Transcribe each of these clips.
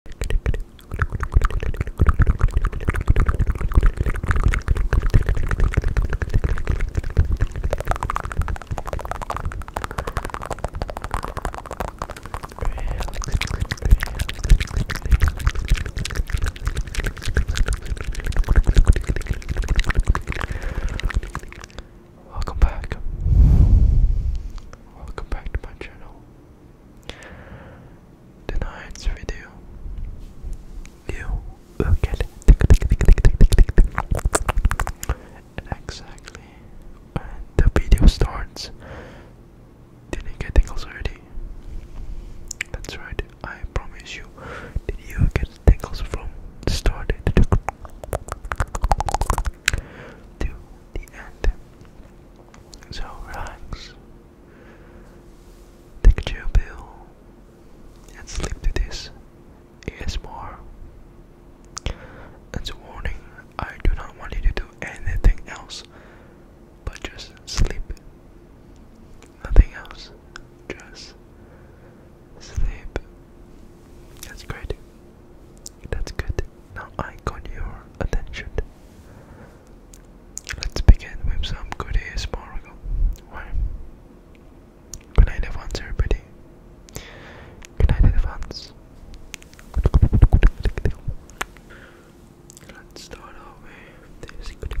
Welcome back. Welcome back to my channel tonight's video. You get exactly the video starts. Did you get tingles already? That's right, I promise you. Did you get tingles from the to the end? So relax. Take a pill and sleep to this ASMR. As a warning, I do not want you to do anything else but just sleep. Nothing else. Just sleep. That's great. That's good. Now I got your attention. Let's begin with some good ASMR. Why? Good night advance everybody. Good night advance. Let's start off with this. Let's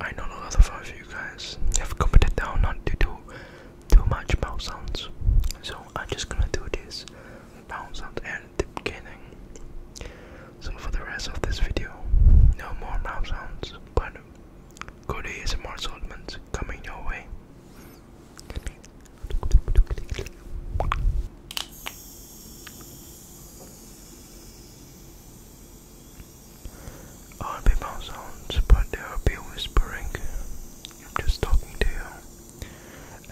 I know not other of you guys have commented down not to do too much mouth sounds, so I'm just gonna do this mouth sound at the beginning. So for the rest of this video, no more mouth sounds, but good ASMR assortment coming your way. Oh, All people sounds, but they will be whispering. I'm just talking to you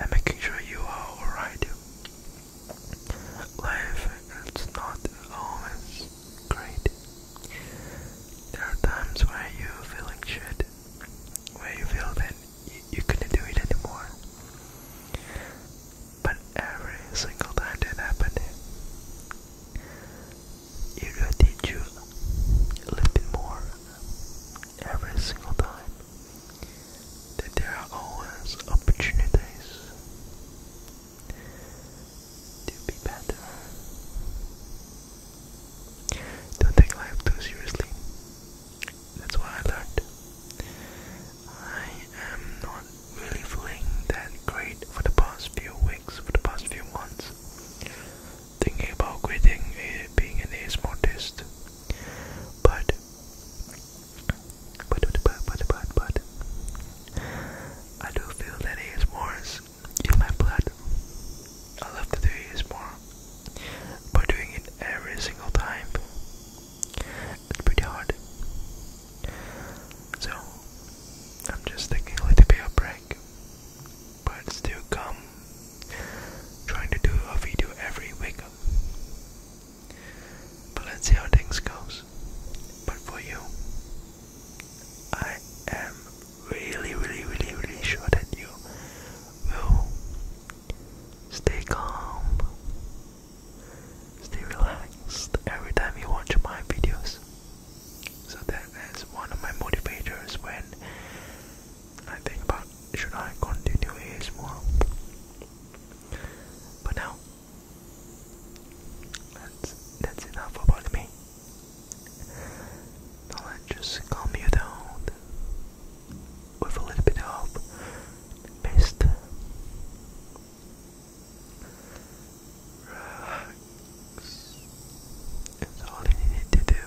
and making sure you are alright. Life is not always great. There are times where you feel like shit, where you feel that you, couldn't do it anymore. But every single time that happened, it will teach you a little more every single time that there are always opportunities to be better. Don't take life too seriously. That's what I learned. I am not really feeling that great for the past few weeks, for the past few months. Thinking about quitting eh, being an ASMRtist. But, but, but, but, but, but, I do feel that ASMRs in my blood. I love to do this more, but doing it every single time, it's pretty hard. So, I'm just taking a little bit break, but still come trying to do a video every week. But let's see how things goes. But for you, I am really, really, really, really sure that you will stay calm, stay relaxed every time you watch my videos. So that is one of my motivators when I think about should I continue ASMR. But now, that's, that's enough about me. Now let's just calm you down with a little bit of mist. Relax. It's all you need to do.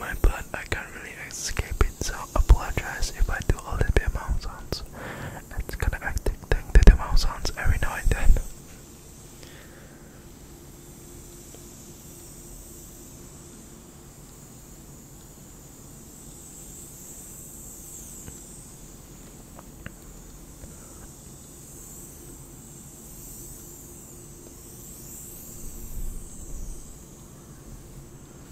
my blood. I can't really escape it, so apologize if I do a little bit of sounds. It's gonna act like the mouth sounds every now and then.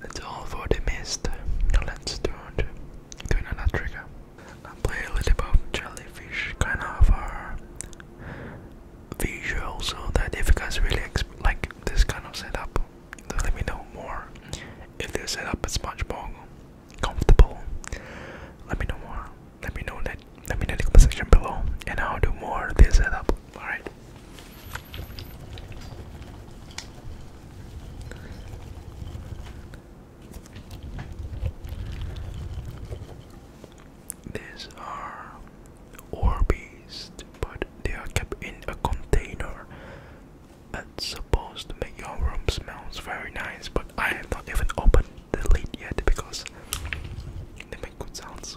That's all for the mist. Now let's turn to another trigger. I play a little bit of jellyfish kind of a uh, visual so that if you guys really like this kind of setup, let me know more. If this setup is much more comfortable, let me know more. Let me know that. Let me know in the comment section below, and I'll do more of this setup. All right. These are Orbeez, but they are kept in a container. That's supposed to make your room smells very nice, but I have not even opened the lid yet because they make good sounds.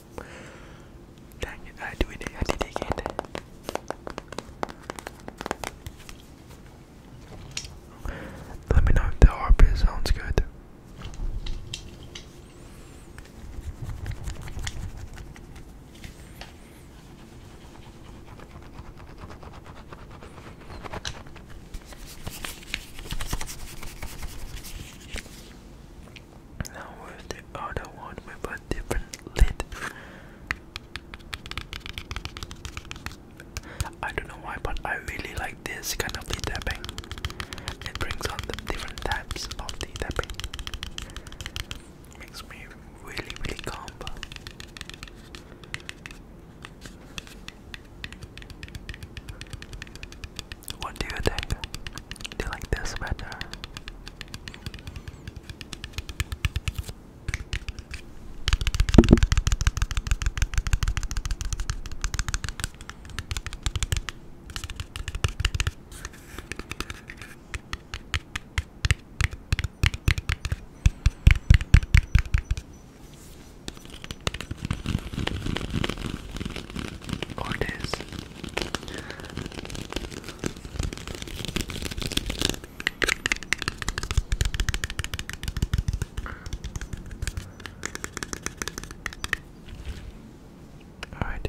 I do it, I did it Let me know if the harp sounds good. Now with the other one with a different lid. I don't know why, but I really like this kind of lid tapping. It brings on the different types of the tapping. Makes me really, really calm. What do you think? Do you like this better? Or this. Alright,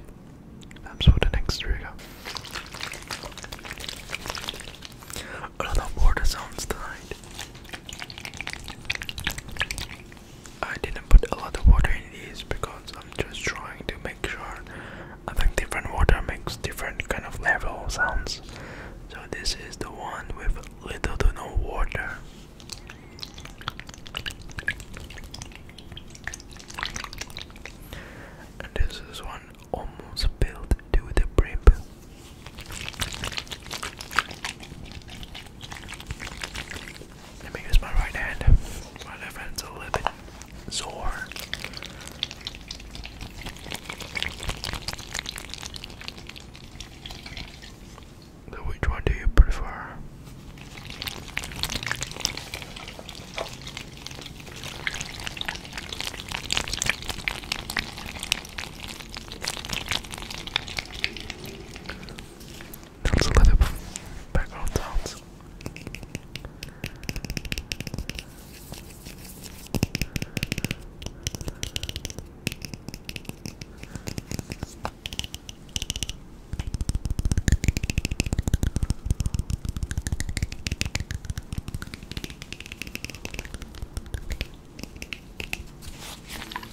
that's for the next trigger. A lot sounds tonight. I didn't put a lot of water in these because I'm just trying to make sure I think different water makes different kind of level sounds. So this is the one with little to no water. And this is one almost filled to the brim. Let me use my right hand. My left hand's a little bit sore. So which one do you prefer? That's a little bit of background sounds.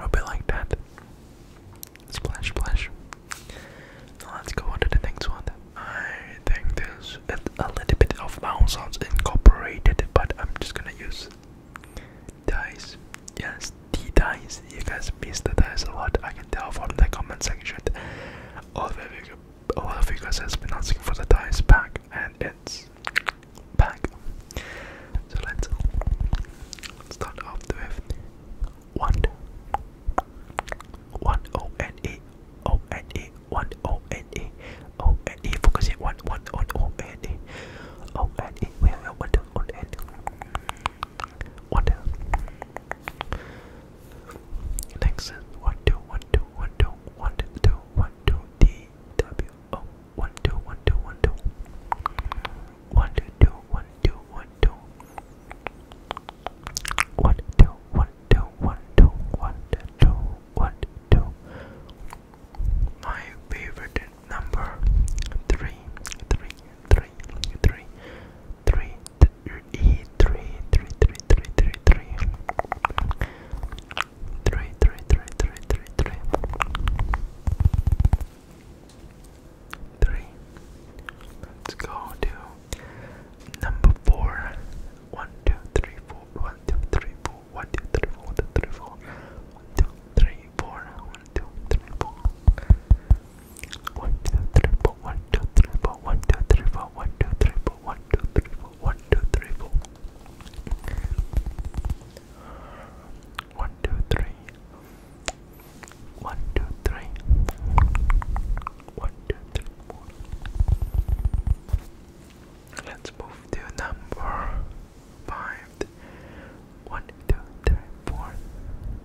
Hope you like that. Splash, splash. let's go on to the next one. I think there's a little bit of mouse sounds incorporated, but I'm just gonna use dice. Yes, the dice. You guys missed the dice a lot. I can tell from the comment section all of you, all of you guys has been asking for the dice pack, and it's back. So let's start off with one, one O N E O N E one O N E O N E. Focus it one one O N E O N E. We have one on One. Next is one two one two one two one two one two D W O one two one two one two one two two one two one two one two one two one two one two one two my favorite number three three three three three three, three, three, three, three, three, three, three, three, three, three, three, three. Three. Let's go to number four. One, two, three, four. One, two, three, four. One, two, three, four. One, two, three, four. One, two, three, four. One, two, three, four, one, two, three, four, one, two, three, four, one, two, three, four, one, two, three, four, one, two, three, four. One, two, three. One, two, three. One, two, three, four. Let's move to number five. One, two, three, four.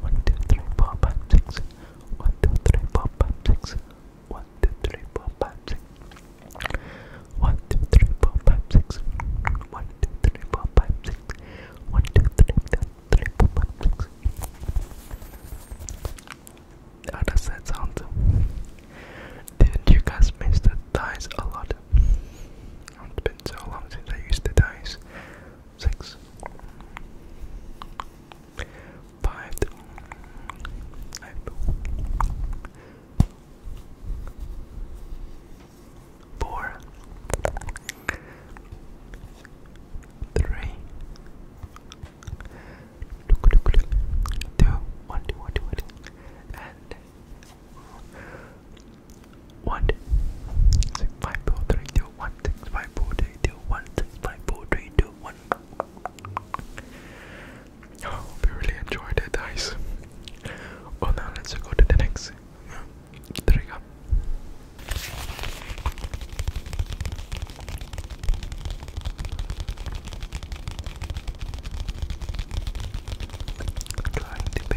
One, two, three, four, five, six. One, two, three, four, five, six. One, two, three, four, five, six. One, two, three, four, five, six. One, two, three, four, five, six. One, two, three, four, three, four, five, six. How does that sound? Didn't you guys miss the dice a lot? It's been so long since I used the dice six, five, five, four, three, two, one, two, one, two, one, two. and one six five four three two one six five four three two one six five four three two one. I hope you really enjoyed it, guys. Well, now let's go to the next trigger. Trying to be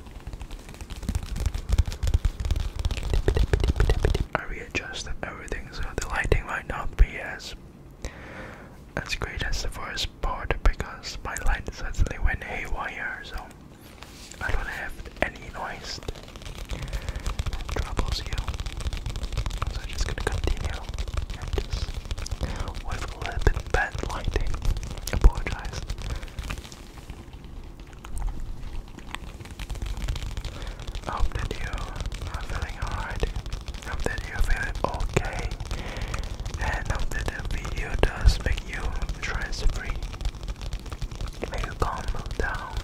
I readjusted everything so the lighting might not be as as great as the first part because my light suddenly went haywire so I don't have any noise troubles you. So I'm just gonna continue just with a little bit bad lighting. Apologize. I hope that you are feeling alright. I hope that you're okay. And I hope that the video does make you stress free. Make you calm down.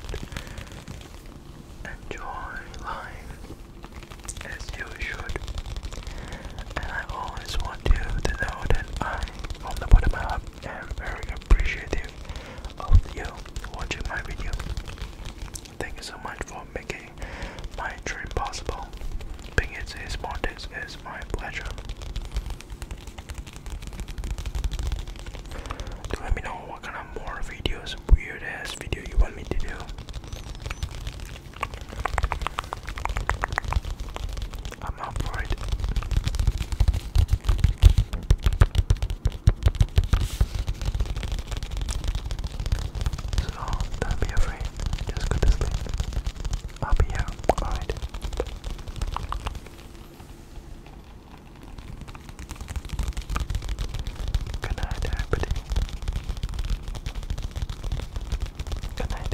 Enjoy life as you should. And I always want you to know that I, on the bottom up i am very appreciative of you watching my video. Thank you so much for making my dream possible. Being it is Mondays is my pleasure. let me know what kind of more videos, weird video you want me to do. I'm up for it. So don't be afraid. Just go to sleep. I'll be here. Alright. Good night, everybody. Good night.